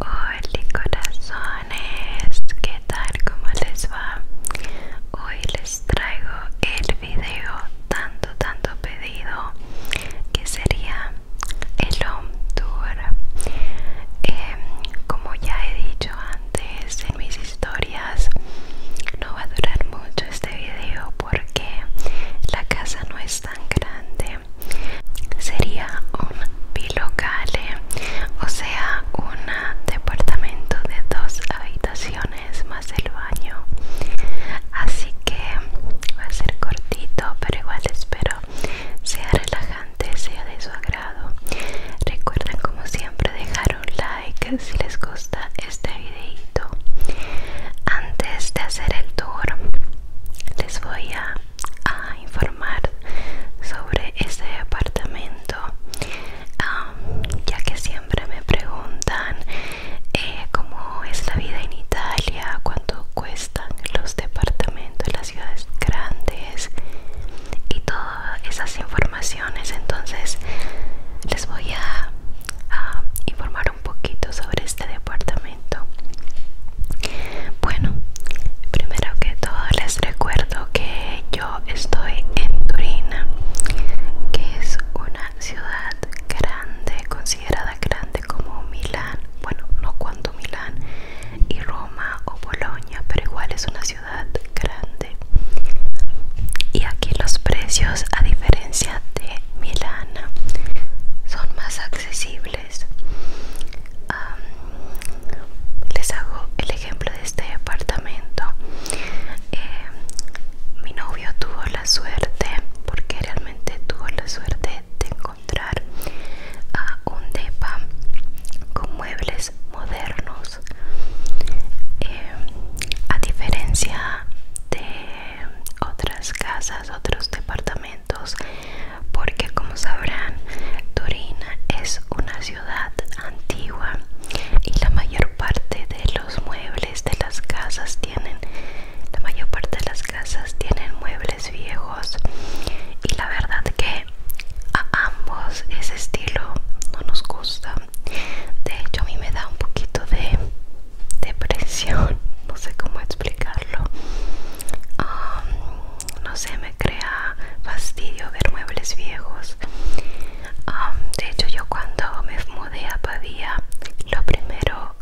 Hola corazones, ¿qué tal? ¿Cómo les va? Hoy les traigo el video tanto tanto pedido que sería el home tour. Em, como ya he dicho antes en mis historias, no va a durar mucho este video porque la casa no es tan grande sería un bilocale o sea un departamento de dos habitaciones más el baño así que va a ser cortito pero igual espero sea relajante sea de su agrado recuerden como siempre dejar un like si les gusta este videito antes de hacer el tour les voy a a informar sobre este departamento ya que siempre me preguntan eh, cómo es la vida en Italia cuánto cuestan los departamentos las ciudades grandes y todas esas informaciones entonces les voy a informar un poquito sobre este departamento bueno primero que todo les recuerdo que yo estoy en turina que es una ciudad grande considerada grande como Milán bueno no cuanto Milán y Roma o Bolonia pero igual es una ciudad grande y aquí los precios a diferencia de Milán son más accesibles les, hago el ejemplo de este departamento. Eh, mi novio tuvo la suerte, porque realmente tuvo la suerte de encontrar a un depa con muebles modernos. Eh, a diferencia de otras casas, otros departamentos porque como sabrán Turín es una ciudad antigua y la mayor parte de los muebles de las casas tienen la mayor parte de las casas tienen muebles viejos y la verdad que a ambos ese estilo no nos gusta de hecho a mí me da un poquito de depresión no sé cómo explicarlo no sé, me crea fastidio ver muebles viejos. de hecho, yo cuando me mudé a Padilla lo primero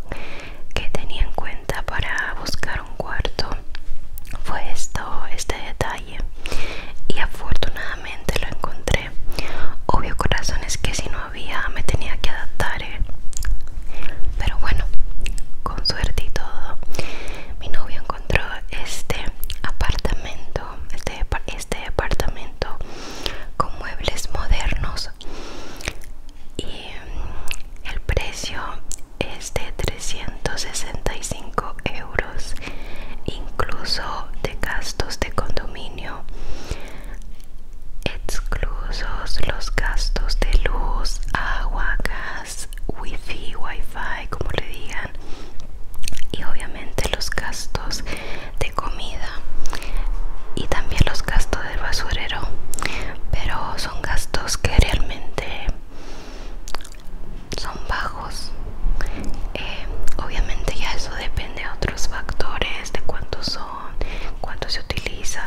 que tenía en cuenta para buscar un cuarto fue esto, este detalle. Y afortunadamente lo encontré. Obvio con razones que si no había me tenía que adaptar. ¿eh? Pero bueno, con suerte y todo mi novio encontró este apartamento este, este apartamento con muebles modernos y mm, el precio es de 365 euros incluso de gastos de condominio exclusos los gastos de luz agua gas wifi, wifi, como le digan, y obviamente los gastos de comida y también los gastos del basurero, pero son gastos que realmente son bajos. Eh, obviamente ya eso depende de otros factores, de cuántos son, cuánto se utiliza,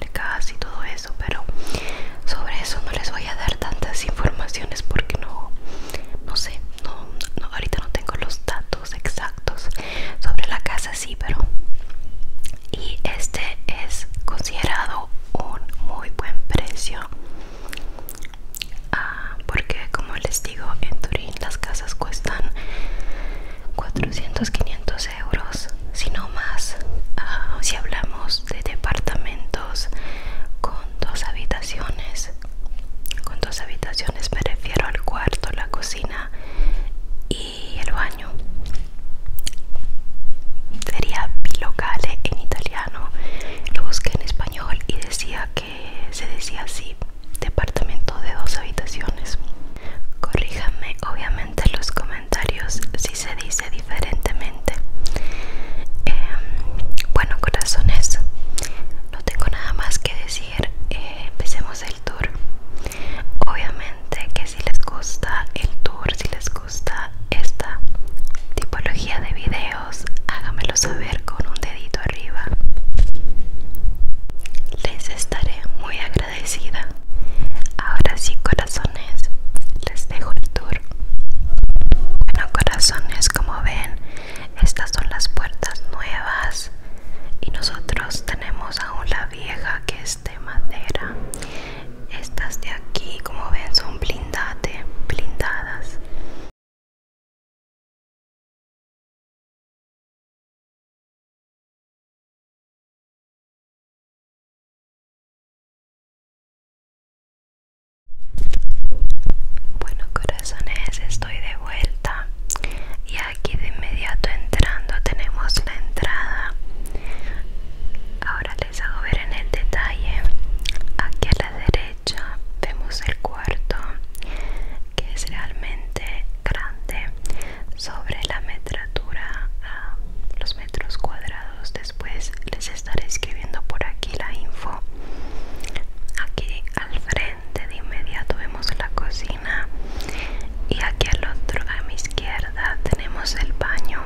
el gas y todo eso, pero sobre eso no les voy a dar tantas informaciones porque no, no sé, no, ahorita no tengo los datos exactos sobre la casa, sí, pero... Y este es considerado un muy buen precio ah, porque como les digo en Turín las casas cuestan 400, 500 euros sino más ah, si hablamos de departamentos con dos habitaciones con dos habitaciones me refiero al cuarto la cocina y el baño sería bilocale en italiano lo busqué en español y decía que se decía así departamento de dos habitaciones corríjame obviamente los comentarios si se dice diferentemente. Em, bueno, corazones, no tengo nada más que decir. Eh, empecemos el tour. Obviamente que si les gusta el tour, si les gusta esta tipología de videos, hágamelo saber con un dedito arriba. Les estaré muy agradecido. Ahora sí, corazones, les dejo el tour. Bueno, corazones, como ven, estas son las puertas nuevas y nosotros tenemos aún la vieja que es de madera. Estas de aquí, como ven, son blindate, blindadas. Bueno corazones, estoy de vuelta y aquí de inmediato entrando tenemos la entrada. Ahora les hago ver en el detalle. Aquí a la derecha vemos el cuarto que es realmente grande sobre la metratura, los metros cuadrados después les estaré escribiendo por aquí la info aquí al frente de inmediato vemos la cocina y aquí al otro a mi izquierda tenemos el baño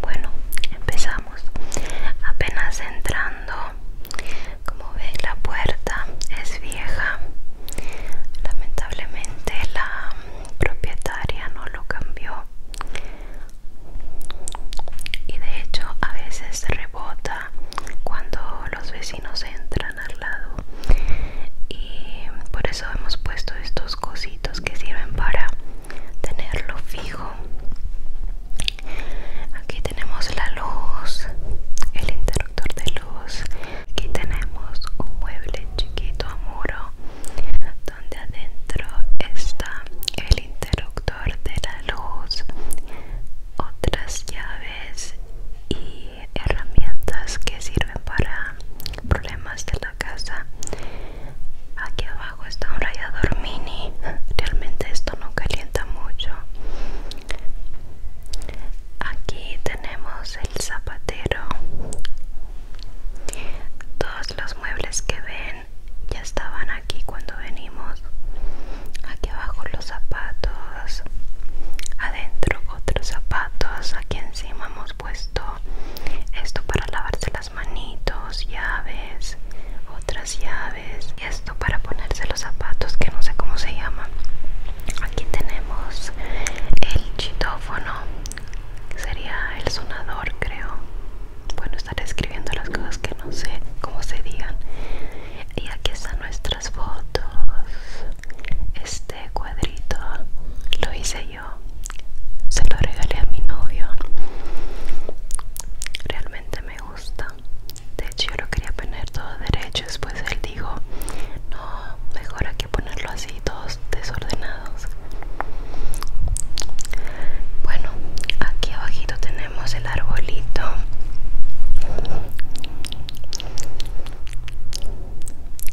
bueno empezamos apenas entrando como veis la puerta es vieja lamentablemente la propietaria no lo cambió y de hecho a veces rebota cuando los vecinos entran al lado y por eso hemos puesto estos cositos que sirven para tenerlo fijo aquí tenemos la luz el interruptor de luz aquí tenemos un mueble chiquito a muro donde adentro está el interruptor de la luz, otras llaves y herramientas que sirven para problemas de la casa. Aquí abajo está un rayador mini. Realmente esto no calienta mucho. Aquí tenemos el zapatero todos los muebles que ven ya estaban aquí cuando venimos. Aquí abajo los zapatos. Adentro otros zapatos. Aquí encima hemos puesto esto para lavarse las manitos, llaves, otras llaves. Y esto para ponerse los zapatos que no sé cómo se llama. Aquí tenemos el chitófono sería el sonador creo bueno estar escribiendo las cosas que no sé cómo se digan y aquí están nuestras fotos este cuadrito lo hice yo se lo regalé a mi novio realmente me gusta de hecho yo lo quería poner todo derecho después él dijo no mejor ponerlo así todos desordenados bueno aquí abajito tenemos el arbolito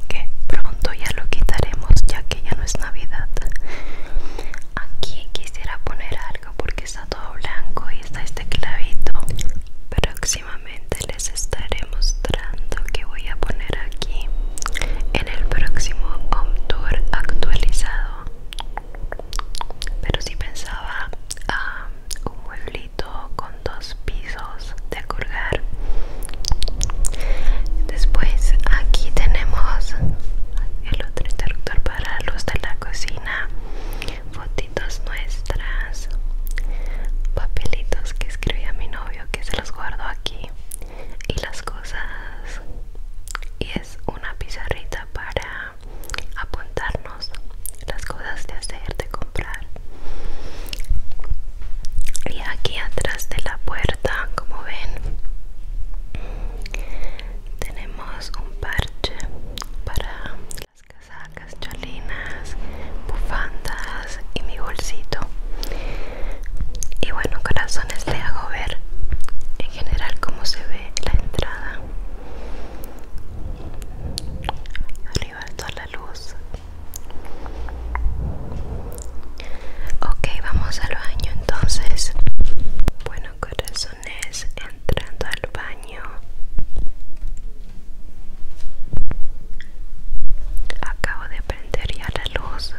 que pronto ya lo quitaremos ya que ya no es navidad aquí quisiera poner algo porque está todo blanco y está este clavito próximamente les estaré mostrando que voy a poner aquí en el próximo home tour actualizado pero si pensaba a ah, un mueblito con dos pisos de colgar después aquí tenemos el otro interruptor para luz de la cocina fotitos nuestras papelitos que escribí a mi novio que se los guardo aquí y las cosas y es una pizarrita para apuntarnos las cosas de hacer de comprar y aquí atrás de la puerta como ven tenemos un parche para las casacas chalinas bufandas y mi bolsito y bueno corazones le hago ver en general cómo se ve la entrada arriba toda la luz ok vamos al baño entonces bueno corazones entrando al baño acabo de la luz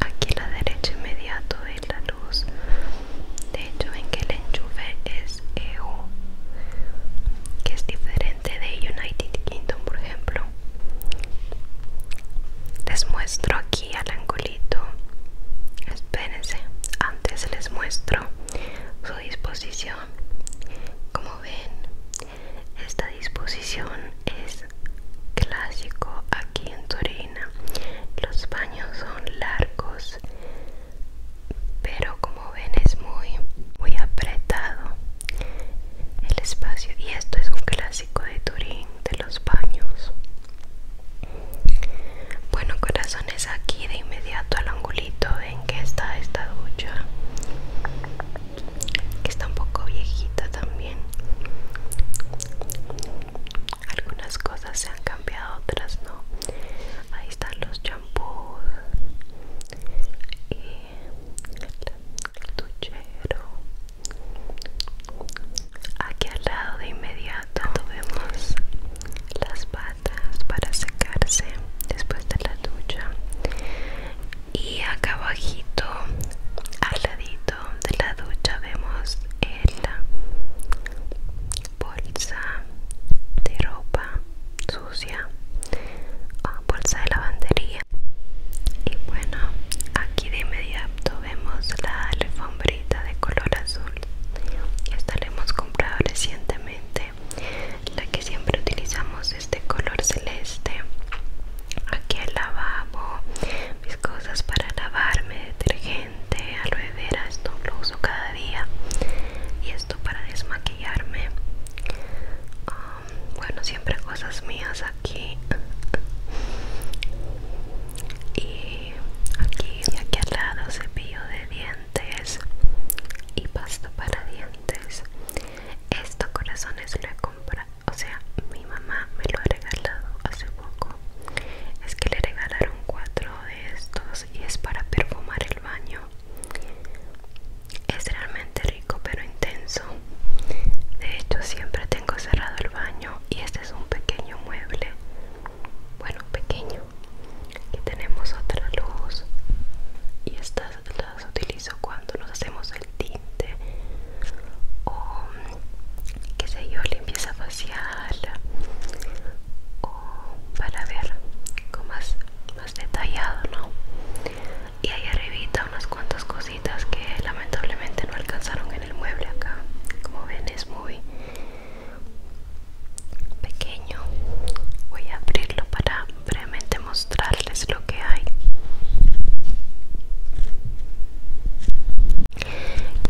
aquí la derecha inmediato de la luz de hecho ven que el enchufe es EU que es diferente de United Kingdom por ejemplo les muestro aquí al angulito espérense antes les muestro su disposición como ven esta disposición es clásico aquí en Turín los baños son largos, pero como ven es muy, muy apretado el espacio. Y esto es un clásico de Turín, de los baños. Bueno, corazones, aquí de inmediato al angulito en que está esta ducha, que está un poco viejita también algunas cosas se han cambiado otras no ahí están los champús y el, duchero aquí al lado de inmediato vemos las patas para secarse después de la ducha y acá abajito al ladito de la ducha vemos la bolsa de ropa sucia ah, bolsa de lavandería y bueno aquí de inmediato vemos la alfombrita de color azul esta la hemos comprado recientemente la que siempre utilizamos este de color celeste aquí el lavabo mis cosas para lavarme, detergente, aloe vera, esto lo uso cada día y esto para desmaquillarme. Um, bueno, siempre cosas mías aquí. Y aquí, y aquí al lado cepillo de dientes y pasta para dientes. Esto corazones lo he comprado o sea mi mamá me lo ha regalado hace poco es que le regalaron cuatro de estos y es para perfumar el baño es realmente rico pero intenso de hecho siempre tengo cerrado el baño y este es un pequeño mueble bueno pequeño aquí tenemos otra luz y estas las utilizo cuando nos hacemos el tinte o que se yo, limpieza facial o para ver con más, más detallado, ¿no? Y ahí arribita unas cuantas cositas que lamentablemente no alcanzaron en el mueble acá. Como ven es muy pequeño. Voy a abrirlo para brevemente mostrarles lo que hay.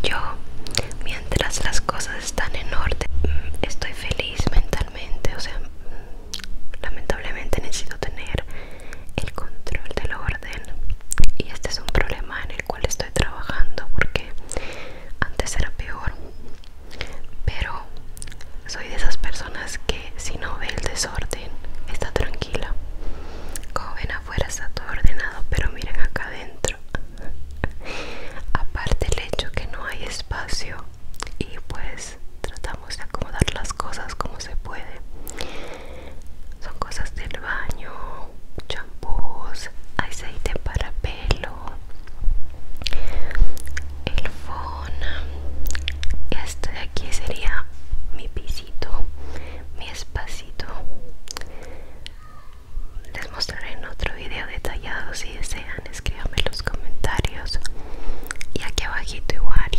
Yo, mientras las cosas están en orden, mm, estoy feliz mentalmente. O sea, mm, lamentablemente necesito tener el control del orden. Y este es un problema en el cual estoy trabajando porque antes era peor. Pero soy de esas personas que si no ve el desorden, está tranquila como ven afuera está todo ordenado pero miren acá adentro aparte el hecho que no hay espacio y pues tratamos de acomodar las cosas como se puede son cosas del baño champús aceite para pelo el phone este de aquí sería mi pisito mi espacio les mostraré en otro video detallado si desean, escríbanme en los comentarios. Y aquí abajito igual,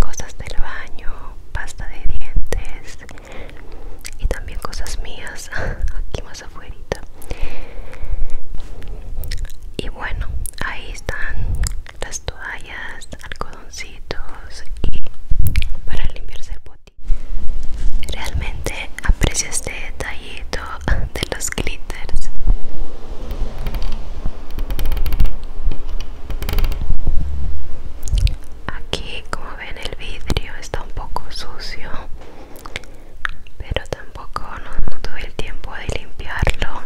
cosas del baño, pasta de dientes y también cosas mías, aquí más afuera. Y bueno, ahí están las toallas, algodoncitos y para limpiarse el botón Realmente aprecio este detallito de los glitters. Aquí, como ven, el vidrio está un poco sucio, pero tampoco no, tuve el tiempo de limpiarlo.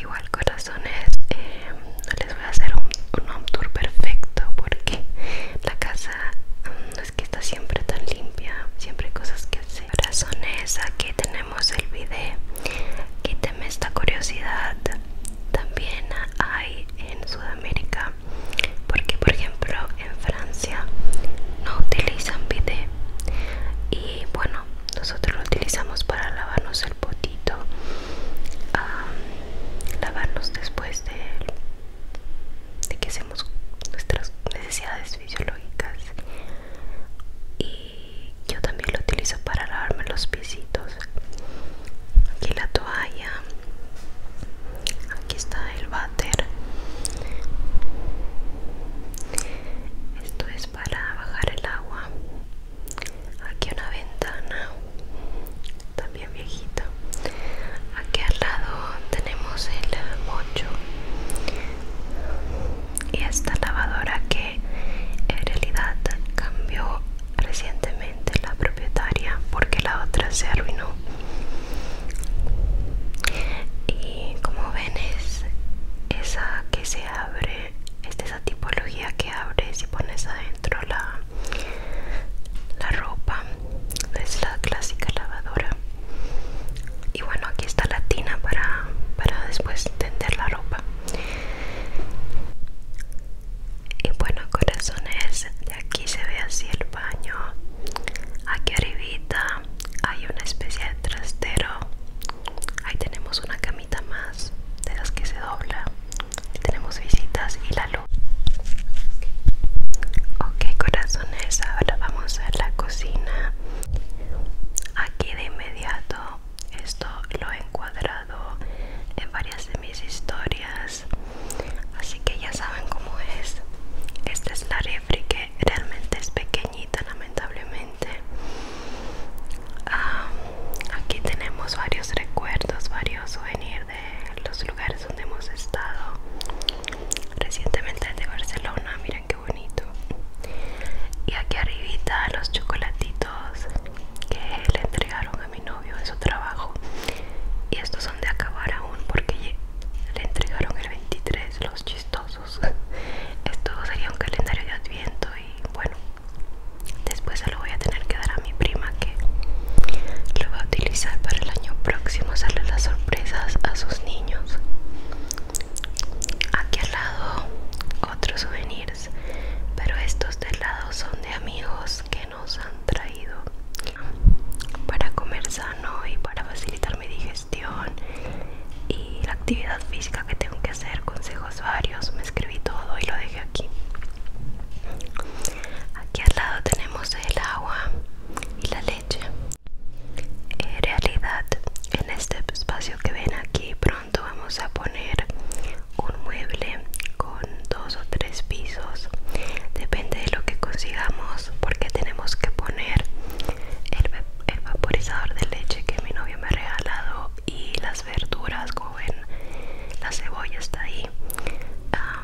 Igual corazones, eh, voy a hacer un, home tour perfecto porque la casa mm, no es que está siempre tan limpia, siempre hay cosas que hacer. es, aquí tenemos el bidet Quíteme esta curiosidad. También hay en Sudamérica, porque por ejemplo en Francia no utilizan bidet y bueno, nosotros lo utilizamos para lavarnos el potito a lavarnos después de, que hacemos nuestras necesidades fisiológicas y yo también lo utilizo para lavarme los pisitos aquí la toalla aquí está el váter esto es para bajar el agua aquí una ventana también viejita. aquí al lado tenemos el mocho y esta lavadora que en realidad cambió recientemente la propietaria porque la otra se arruinó y como ven es esa que se abre es de esa tipología que abre si pones adentro dentro la, la ropa es la clásica lavadora y bueno aquí está la tina para, para después tender la ropa y bueno corazones de aquí se ve así el baño aquí arribita hay una especie de trastero ahí tenemos una camita más de las que se dobla tenemos visitas y la luz ok corazones ahora vamos a la cocina aquí de inmediato esto lo he encuadrado en varias de mis historias así que ya saben cómo es esta es la refri que realmente es pequeñita lamentablemente ah, aquí tenemos varios recuerdos varios souvenirs los lugares donde hemos estado recientemente de Barcelona miren qué bonito y aquí arribita los chocolatitos que le entregaron a mi novio en su trabajo y estos son de acabar aún porque le entregaron el 23 los chistosos esto sería un calendario de adviento y bueno después a voy a tener que dar a mi prima que lo va a utilizar para el año próximo hacerle las sorpresas a sus niños aquí al lado otros souvenirs pero estos del lado son de amigos que nos han traído para comer sano y para facilitar mi digestión y la actividad física que tengo que hacer consejos varios me escribí todo y lo dejé aquí Aquí al lado tenemos el agua y la leche. En realidad, en este espacio que ven aquí, pronto vamos a poner un mueble con dos o tres pisos. Depende de lo que consigamos, porque tenemos que poner el, vaporizador de leche que mi novio me ha regalado y las verduras, como ven, la cebolla está ahí. Ah,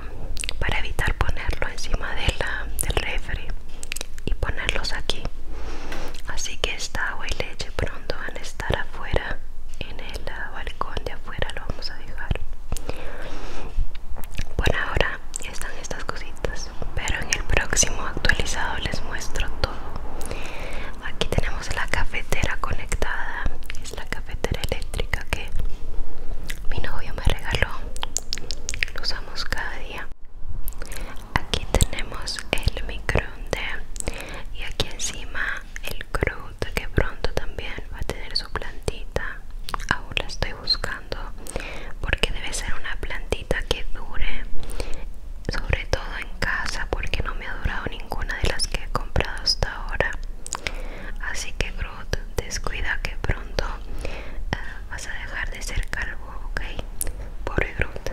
para evitar ponerlo encima del refri y ponerlos aquí así que esta agua y leche pronto van a estar afuera en el balcón de afuera lo vamos a dejar Bueno ahora están estas cositas pero en el próximo actualizado les muestro todo aquí tenemos la cafetera conectada la cafetera eléctrica que mi novio me regaló lo usamos cada día aquí tenemos el microondas y aquí encima el crude que pronto también va a tener su plantita aún la estoy buscando porque debe ser una plantita que dure sobre todo en casa porque no me ha durado ninguna de las que he comprado hasta ahora así que descuida que pronto ah, vas a dejar de ser calvo, ok? Pobre Groot,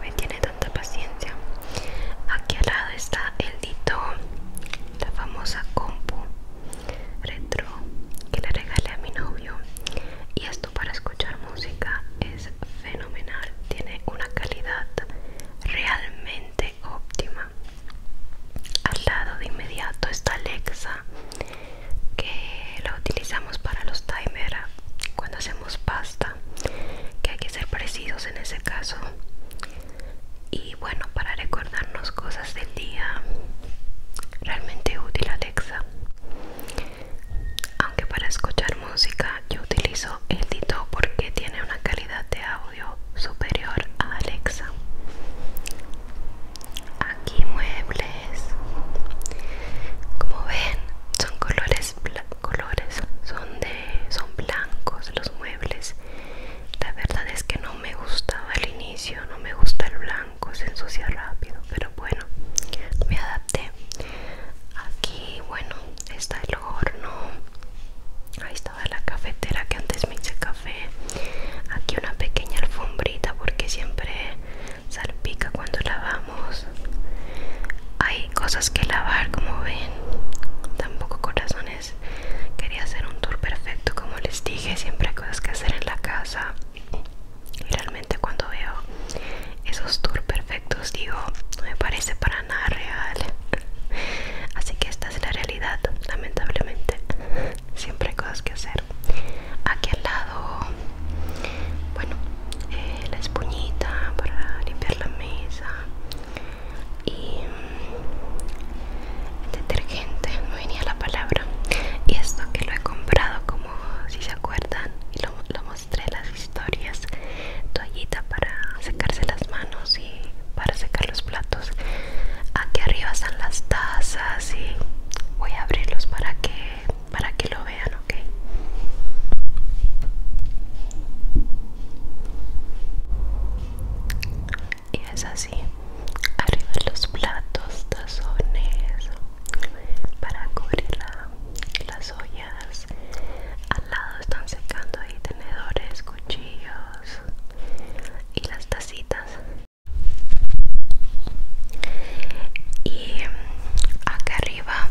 me tiene tanta paciencia. Aquí al lado está el dito, la famosa compu retro que le regalé a mi novio. Y esto para escuchar música es fenomenal, tiene una calidad realmente óptima. Al lado de inmediato está Alexa, que la utilizamos para los timers cuando hacemos pasta, que hay que ser precisos en ese caso. Y bueno, para recordarnos cosas del día, realmente útil Alexa. Aunque para escuchar música yo utilizo el Dito porque tiene una calidad de audio superior a Alexa. Aquí muebles. Como ven, son colores, colores, son de, son blancos los muebles. La verdad es que no me gustaba al inicio, no me gusta el blanco, se ensucia rápido, pero bueno, me adapté. Aquí, bueno, está el horno. está la cafetera que antes me hice café aquí una pequeña alfombrita porque siempre salpica cuando lavamos hay cosas que lavar como ven tampoco corazones quería hacer un tour perfecto como les dije siempre hay cosas que hacer en la casa y realmente cuando veo esos tours perfectos digo no me parece para nada real así que esta es la realidad lamentablemente siempre hay cosas que hacer aquí al lado bueno eh, la espuñita para limpiar la mesa y mm, detergente no venía la palabra y esto que lo he comprado como si se acuerdan y lo, lo mostré en las historias toallita para secarse las manos para secar los platos aquí arriba están las tazas y voy a abrirlos para que para que lo vean ok y es así arriba los platos tazones para cubrir las ollas al lado están secando ahí tenedores cuchillos y las tacitas y mm, acá arriba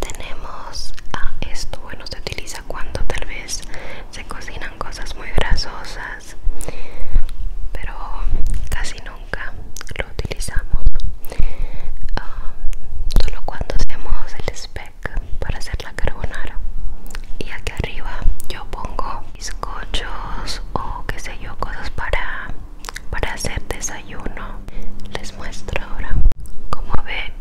tenemos ah, esto bueno se utiliza cuando tal vez se cocinan cosas muy grasosas pero casi nunca lo utilizamos ah, solo cuando hacemos el spec para hacer la carbonara y aquí arriba yo pongo bizcochos o qué sé yo, cosas para, para hacer desayuno. Les muestro ahora. Como ven,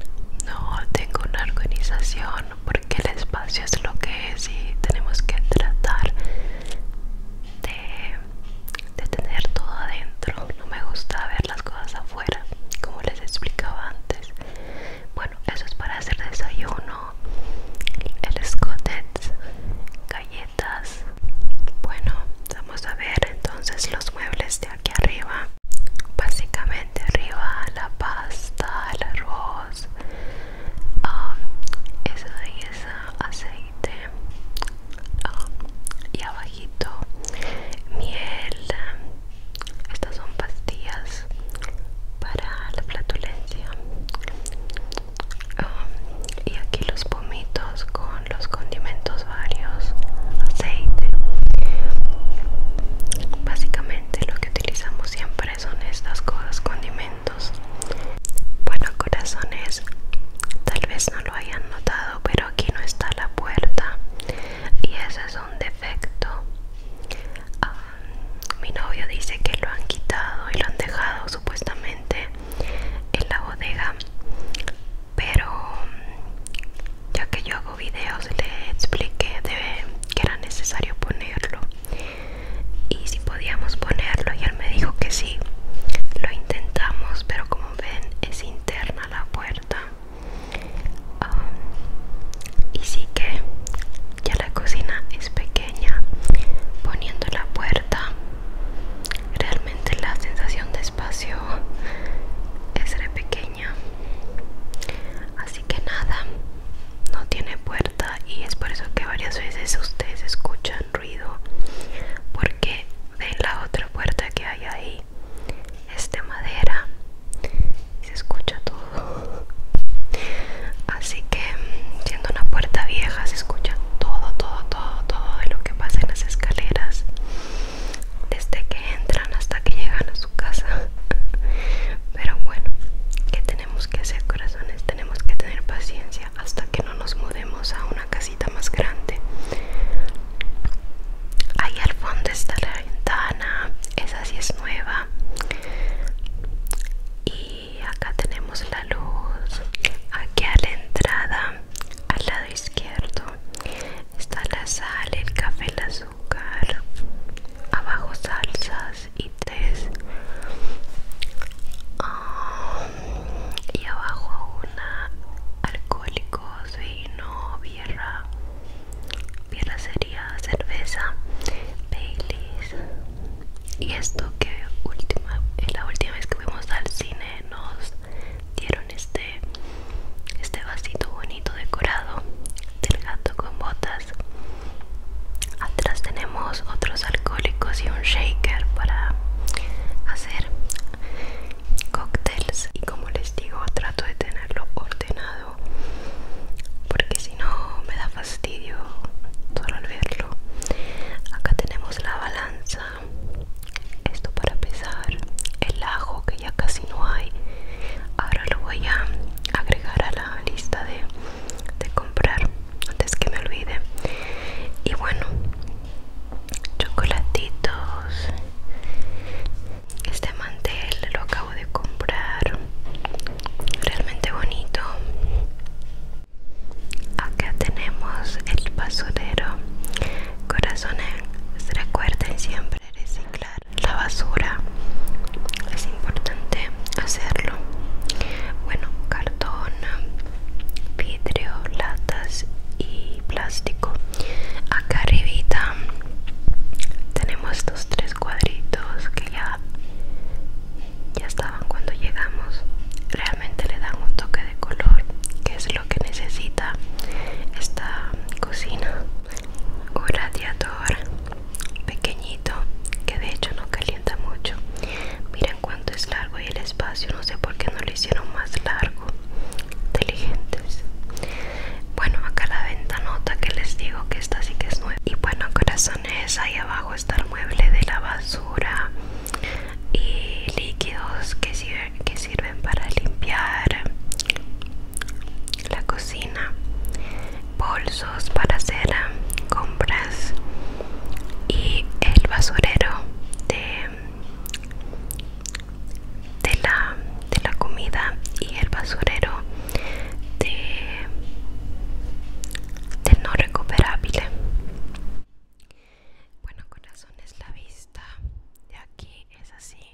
no tengo una organización porque el espacio es lo que es y tenemos que tratar de, de tener todo adentro. No me gusta ver las cosas afuera, como les explicaba antes. Bueno, eso es para hacer desayuno, el scottet galletas. Bueno, vamos a ver entonces los muebles de aquí arriba. Básicamente arriba la pasta, el arroz, ah, eso de ahí es aceite. Ah, y abajito miel. Estas son pastillas para la flatulencia um, y aquí los pomitos con los condimentos varios aceite básicamente lo que utilizamos siempre son estas cosas condimentos bueno corazones tal vez no lo hayan notado pero aquí no está la puerta y ese es un defecto ah, mi novio dice que lo han quitado y lo han dejado supuestamente en la bodega pero mm, ya que yo hago videos le expliqué que era necesario ponerlo y si podíamos ponerlo y él me dijo que sí lo intentamos pero como ven es interna la puerta ah, y sí que ya la cocina es pequeña poniendo la puerta realmente la sensación de espacio es re pequeña así que nada no tiene puerta y es por eso que varias veces ustedes escuchan ruido porque ven la otra puerta que hay ahí es de madera y se escucha todo Así que siendo una puerta vieja se escucha todo, todo, todo, todo de lo que pasa en las escaleras. Desde que entran hasta que llegan a su casa. Pero bueno, ¿qué tenemos que hacer corazones? Tenemos que tener paciencia hasta que no nos mudemos a una casita más grande. Ahí al fondo está la ventana, esa sí es nueva. Y y acá tenemos la luz aquí a la entrada al lado izquierdo está la sal el café el azúcar abajo salsas y tres ah, y abajo una alcohólicos vino bierra bierra sería cerveza Baileys y esto que última la última vez que fuimos al cine nos dieron este este vasito bonito decorado del gato con botas atrás tenemos otros alcohólicos y un shaker para hacer cócteles y como les digo trato de tenerlo ordenado porque si no me da fastidio solo al verlo acá tenemos la balanza esto para pesar el ajo que ya casi no hay ahora lo voy a agregar a la lista de, de comprar antes que me olvide y bueno chocolatitos este mantel lo acabo de comprar realmente bonito acá tenemos el basurero corazones recuerden siempre reciclar la basura es importante hacerlo bueno cartón vidrio latas y plástico acá arribita tenemos estos tres cuadritos que ya ya estaban cuando llegamos realmente le dan un toque de color que es lo que necesita esta cocina un radiador pequeñito que de hecho no calienta mucho miren cuánto es largo y el espacio no sé por qué no lo hicieron más largo inteligentes bueno acá la ventanota que les digo que esta sí que es nueva y bueno corazón Ahí abajo está el mueble de la basura y líquidos que, sirven para limpiar la cocina. Bolsos para hacer compras y el basurero de, la, comida y el basurero de, recuperable. Bueno, es la vista de aquí es así.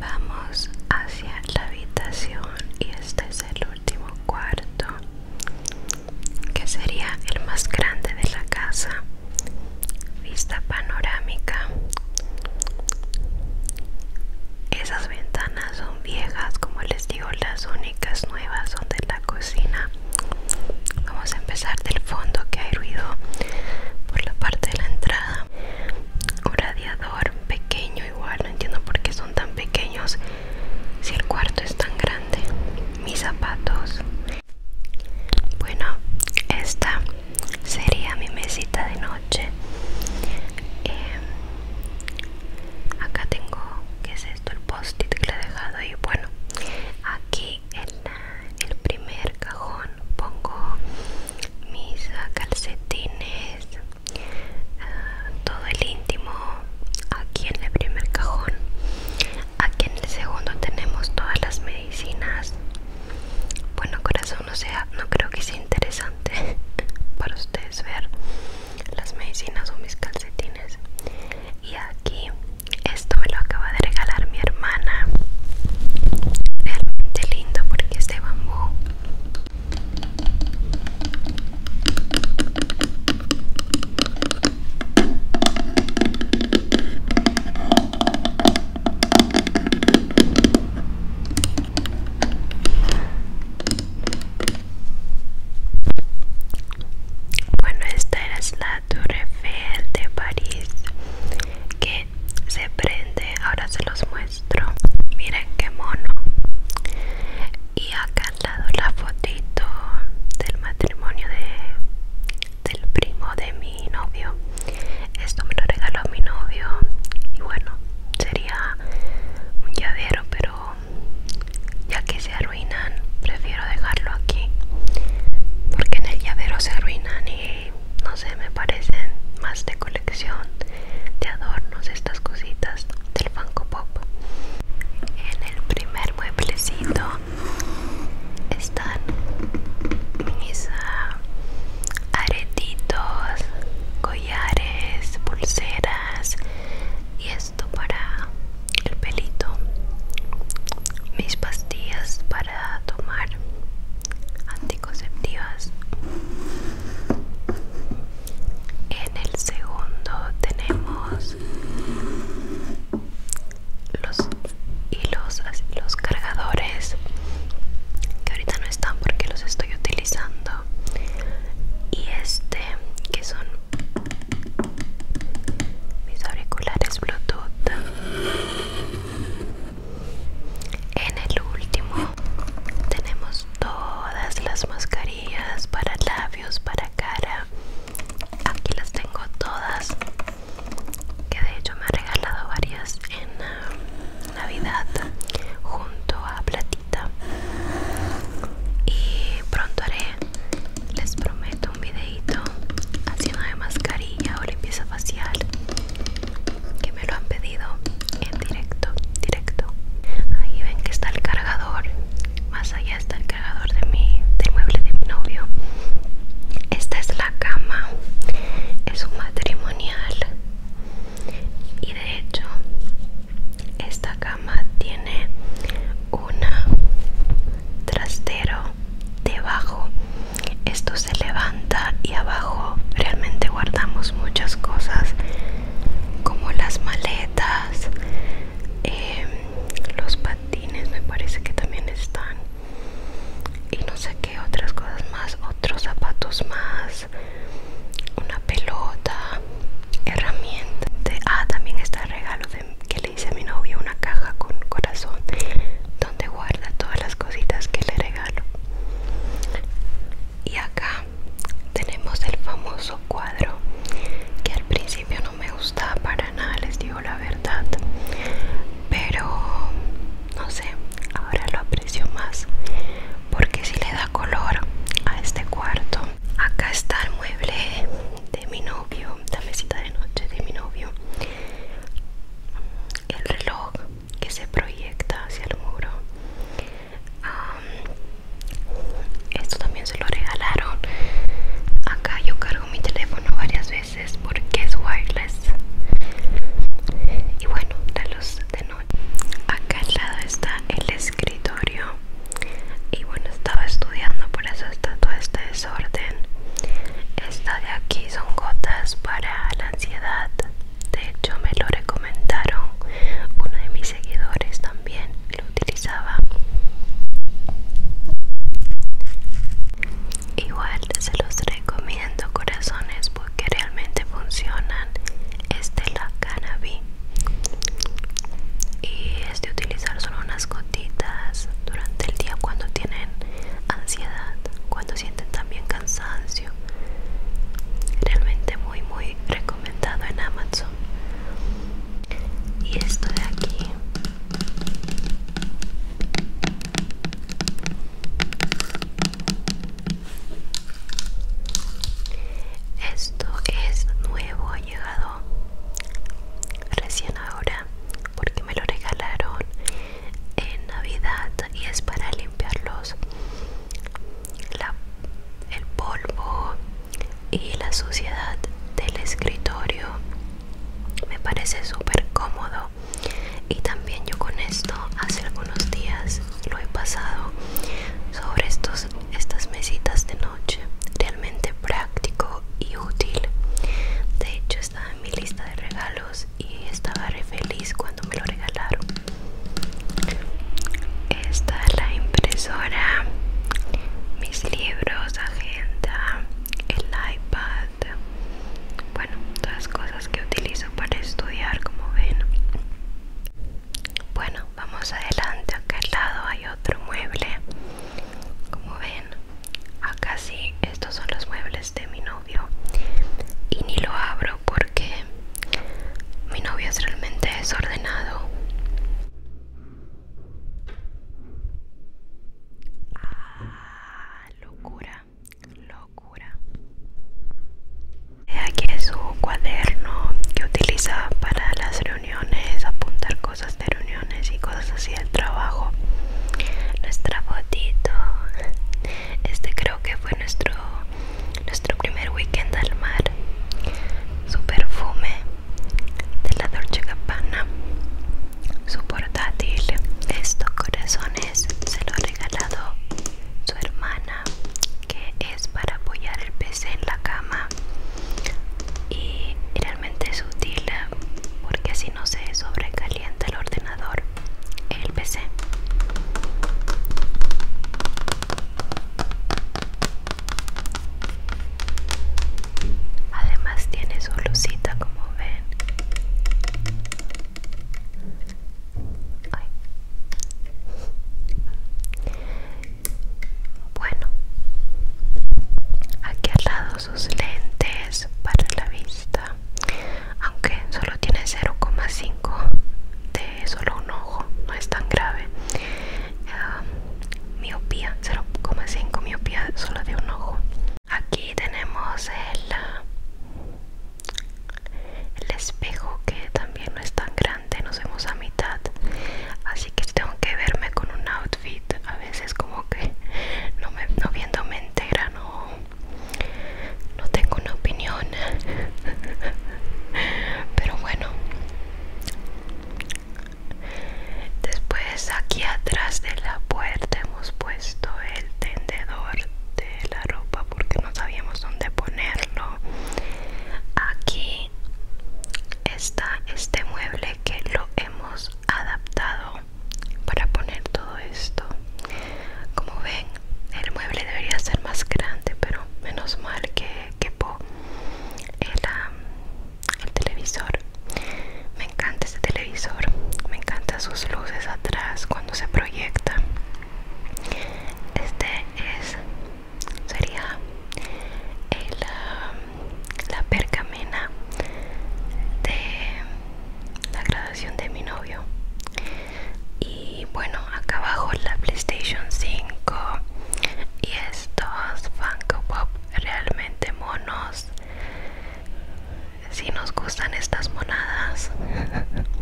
Vamos hacia la habitación y este es el último cuarto que sería el más grande de la casa. Vista panorámica. Esas ventanas son viejas como les digo las únicas nuevas son de la cocina vamos a empezar del fondo que hay ruido por la parte de la entrada un radiador pequeño igual no entiendo por qué son tan pequeños si el cuarto es tan grande mis zapatos bueno esta sería mi mesita de noche em, acá tengo que es esto el post-it que le he dejado y bueno aquí en el primer cajón pongo mis ah, calcetines ah, todo el íntimo aquí en el primer cajón aquí en el segundo tenemos todas las medicinas bueno corazón o sea no creo que sea interesante para ustedes ver las medicinas o mis calcetines y aquí esto me lo acaba de regalar mi hermana realmente lindo porque es de bambú bueno, esta era la Tour Eiffel de París que se prende, ahora se los muestro. Miren qué mono. Y acá al lado la fotito del matrimonio de, del primo de mi novio. Esto me lo regaló mi novio y bueno, sería un llavero pero ya que se arruinan prefiero dejarlo aquí porque en el llavero se arruinan y no sé me parecen más de colección de adornos estas cositas del Funko Pop en el primer mueblecito están mis ah, aretitos pulseras y esto para el pelito, mis pastillas para tomar anticonceptivas. En el segundo tenemos los hilos, los cargadores que ahorita no están porque los estoy utilizando y este que son mis auriculares bluetooth en el último tenemos todas las mascarillas para labios para cara aquí las tengo todas que de hecho me ha regalado varias en, ah, Navidad junto a Platita. Y pronto haré, les prometo, un videito haciendo de mascarilla o limpieza facial que me lo han pedido en directo, directo. Ahí ven que está el cargador. Más allá está el cargador de mi, del mueble de mi novio. Esta es la cama. Es un matrimonial y de hecho esta cama tiene un trastero debajo esto se levanta y abajo realmente guardamos muchas cosas como las maletas em, los patines me parece que también están y no sé qué otras cosas más otros zapatos más una pelota, herramientas. Ah, también está el regalo que le hice a mi novio, una caja con corazón donde guarda todas las cositas que le regalo. Y acá tenemos el famoso cuadro que al principio no me gustaba para nada, les digo la verdad. Pero no sé, ahora lo aprecio más porque si le da color a este cuarto acá está el mueble de mi novio la mesita de noche de mi novio el reloj que se proyecta hacia el muro esto también se lo regalaron acá yo cargo mi teléfono varias veces porque es wireless y bueno la luz de noche acá al lado está el escritorio y bueno estaba estudiando por eso está todo este desorden esta de aquí son gotas para la ansiedad de hecho me lo recomendaron uno de mis seguidores también lo utilizaba igual se los recomiendo corazones porque realmente funcionan este es la cannabis y es de utilizar solo unas gotitas durante el día cuando tienen ansiedad cuando sienten también cansancio realmente muy muy recomendado en amazon y esto de aquí esto es nuevo, ha llegado recién ahora porque me lo regalaron en Navidad y es para limpiarlos el polvo y la suciedad del escritorio. Me parece súper cómodo y también yo con esto hace algunos días lo he pasado sobre estos estas mesitas de noche realmente práctico y útil de hecho estaba en mi lista de regalos y estaba feliz cuando me lo regalaron está la impresora mis libros agenda el ipad bueno todas cosas que utilizo para estudiar como ven bueno, vamos adelante. Acá al lado hay otro mueble. Como ven, acá sí, estos son los muebles de mi novio. Y ni lo abro porque mi novio es realmente desordenado. Ah, locura, locura. Aquí es su cuaderno que utiliza para las reuniones, apuntar cosas de reuniones y cosas así del trabajo. Nuestra botito. Este creo que fue nuestro, nuestro primer weekend al mar. Su perfume de la Dolce Gabbana. Su portátil. Estos corazones se lo ha regalado su hermana que es para apoyar el PC en la cama y realmente es útil porque así no se sobrecalienta el ordenador el PC además tiene su lucita como ven bueno, aquí al lado sus lentes para la vista, aunque solo tiene 0,5 de solo un ojo, no es tan grave. Em, miopía, 0,5 miopía solo de un ojo. Aquí tenemos el, el espejo que también no es tan grave nos vemos a mitad. Así que tengo que verme con un outfit. A veces como que no, me, no entera, no, no tengo una opinión. Pero bueno. Después aquí atrás de la puerta hemos puesto el tendedor de la ropa porque no sabíamos dónde ponerlo aquí está este mueble que lo hemos adaptado para poner todo esto como ven el mueble debería ser más grande pero menos mal que quepó el, el televisor me encanta este televisor me encantan sus luces atrás cuando se proyecta este es sería um, la, pergamena de la grabación de mi novio y bueno acá abajo la playstation 5 y estos funko pop realmente monos si nos gustan estas monadas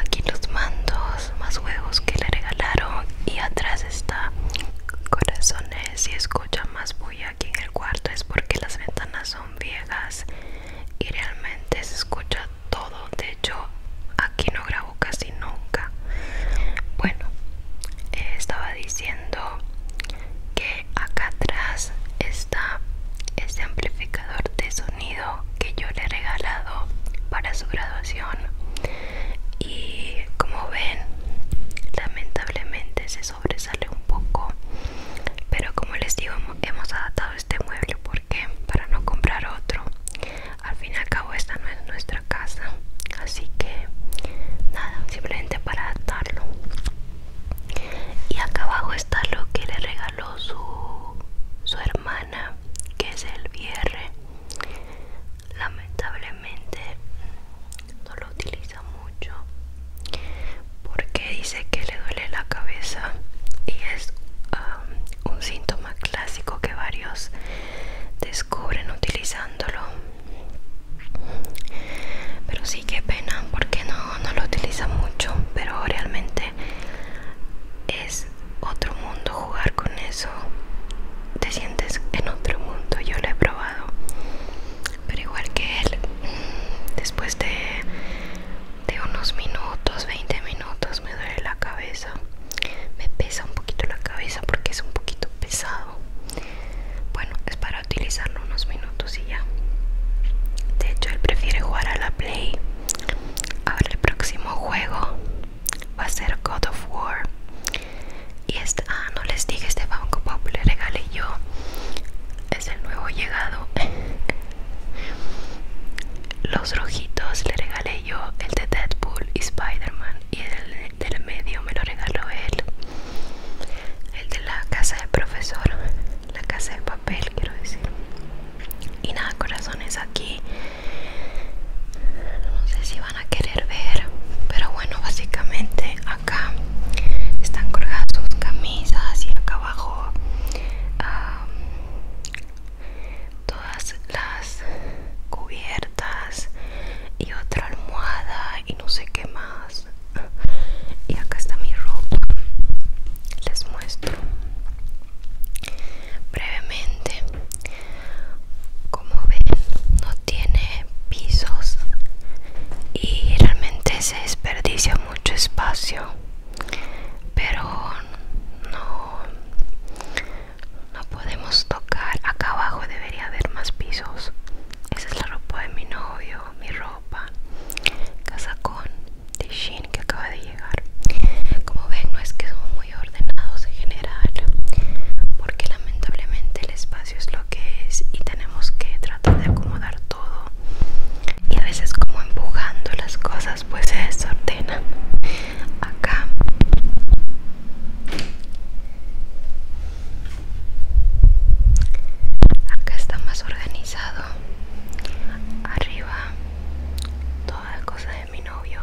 aquí los mando más huevos que le regalaron y atrás está corazones. Si escucha más bulla aquí en el cuarto es porque las ventanas son viejas y realmente se escucha todo. De hecho, aquí no grabo casi nunca. Bueno, eh, estaba diciendo que acá atrás está este amplificador de sonido que yo le he regalado para su graduación y como ven lamentablemente se sobresale un poco pero como les digo hemos adaptado este mueble porque para no comprar otro al fin y al cabo esta no es nuestra casa así que nada simplemente para adaptarlo y acá abajo está lo que le regaló su, su hermana que es el VR lamentablemente no lo utiliza mucho porque dice que le duele la cabeza y es un síntoma clásico que varios descubren utilizándolo pero sí que pena porque no, no lo utiliza mucho pero realmente es otro mundo jugar con eso. Te sientes en otro mundo, yo lo he probado. Pero igual que él, mm, después de, de unos minutos, 20 minutos, me duele la cabeza. Me pesa un poquito la cabeza porque es un poquito pesado. Bueno, es para utilizarlo unos minutos y ya. De hecho, él prefiere jugar a la Play. A ver el próximo juego va a ser God of War y esta ah, no les dije este Banco Pop le regalé yo es el nuevo llegado los rojitos le regalé yo el de Deadpool y Spider-Man y el del medio me lo regaló él el de la casa del profesor la casa de papel quiero decir y nada corazones aquí no sé si van a querer ver pero bueno básicamente acá están colgadas sus camisas y acá abajo todas las cubiertas y otra almohada y no sé qué más y acá está mi ropa les muestro brevemente como ven no tiene pisos y realmente se desperdicia mucho espacio pero no no podemos tocar acá abajo debería haber más pisos esa es la ropa de mi novio mi ropa casacón de Shin que acaba de llegar como ven no es que son muy ordenados en general porque lamentablemente el espacio es lo que es y tenemos que tratar de acomodar todo y a veces como empujando las cosas pues se desordenan acá acá está más organizado arriba toda cosa mi novio.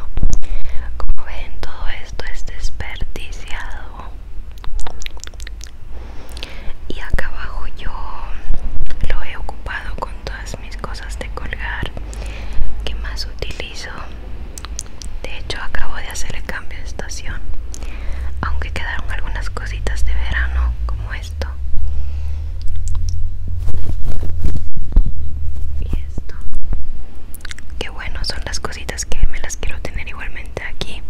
Como ven, todo esto es desperdiciado. Y acá abajo yo lo he ocupado con todas mis cosas de colgar que más utilizo. De hecho, acabo de hacer el cambio de estación. Aunque quedaron algunas cositas de verano como esto. Y esto. Qué bueno son las cositas que me las quiero tener igualmente aquí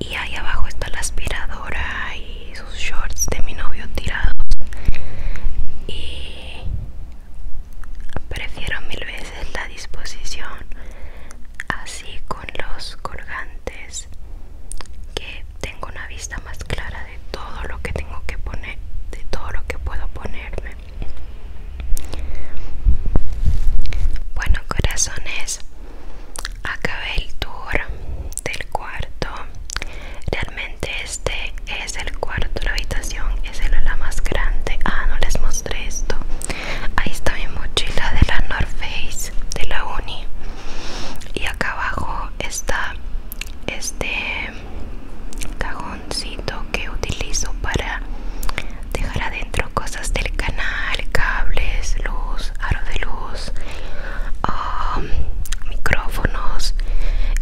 y ahí abajo está la aspiradora y sus shorts de mi novio tirados y prefiero mil veces la disposición así con los colgantes que tengo una vista más clara todo lo que tengo que poner, de todo lo que puedo ponerme. Bueno, corazones, acabé el tour del cuarto. Realmente este es el cuarto, la habitación es la más grande. Ah, no les mostré esto. Ahí está mi mochila de la North Face de la Uni. Y acá abajo está este cajoncito que utilizo para dejar adentro cosas del canal, cables, luz, aro de luz, um, micrófonos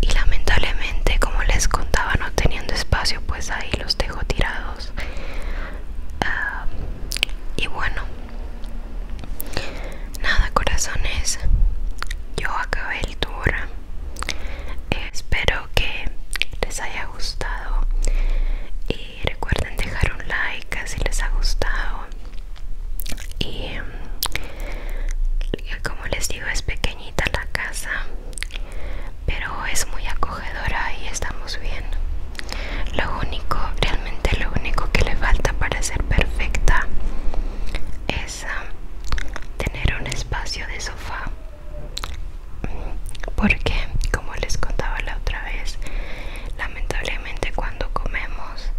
y lamentablemente como les contaba no teniendo espacio pues ahí los dejo tirados ah, y bueno nada corazones yo acabé el tour espero que les haya gustado y recuerden dejar un like si les ha gustado y mm, como les digo es pequeñita la casa pero es muy acogedora y estamos bien lo único realmente lo único que le falta para ser perfecta es tener un espacio de sofá porque como les contaba la otra vez lamentablemente cuando comemos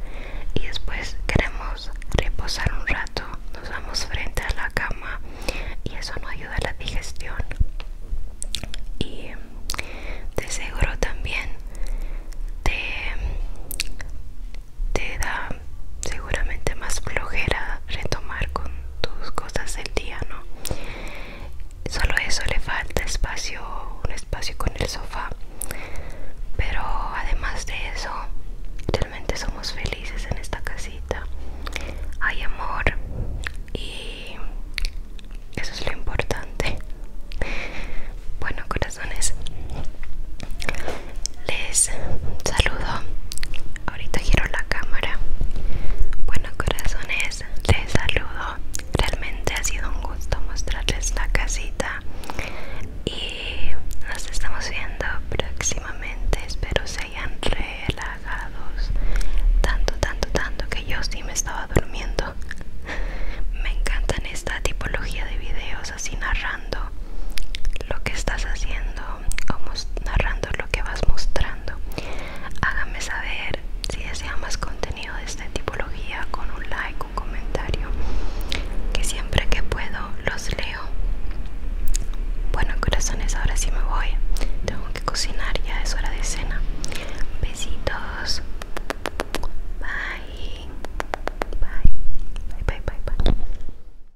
y después queremos reposar un rato nos vamos frente a la cama y eso no ayuda a la digestión y te seguro también de te da seguramente más flojera retomar con tus cosas del día, ¿no? Solo eso le falta espacio, un espacio con el sofá. Pero además de eso, realmente somos felices en esta casita. Hay amor y eso es lo importante. Bueno, corazones les saludo. Ahorita giro la cámara. Bueno, corazones, les saludo. Realmente ha sido un gusto mostrarles la casita. Y nos estamos viendo próximamente. Espero se hayan relajado Tanto, tanto, tanto que yo sí me estaba durmiendo. Me encantan esta tipología de videos así narrando lo que estás haciendo o narrando lo que vas mostrando. Hágame saber si desea más contenido de esta tipología con un like, un comentario, que siempre que puedo los leo. Bueno, corazones, ahora sí me voy. Tengo que cocinar, ya es hora de cena. Besitos. Bye, bye, bye, bye.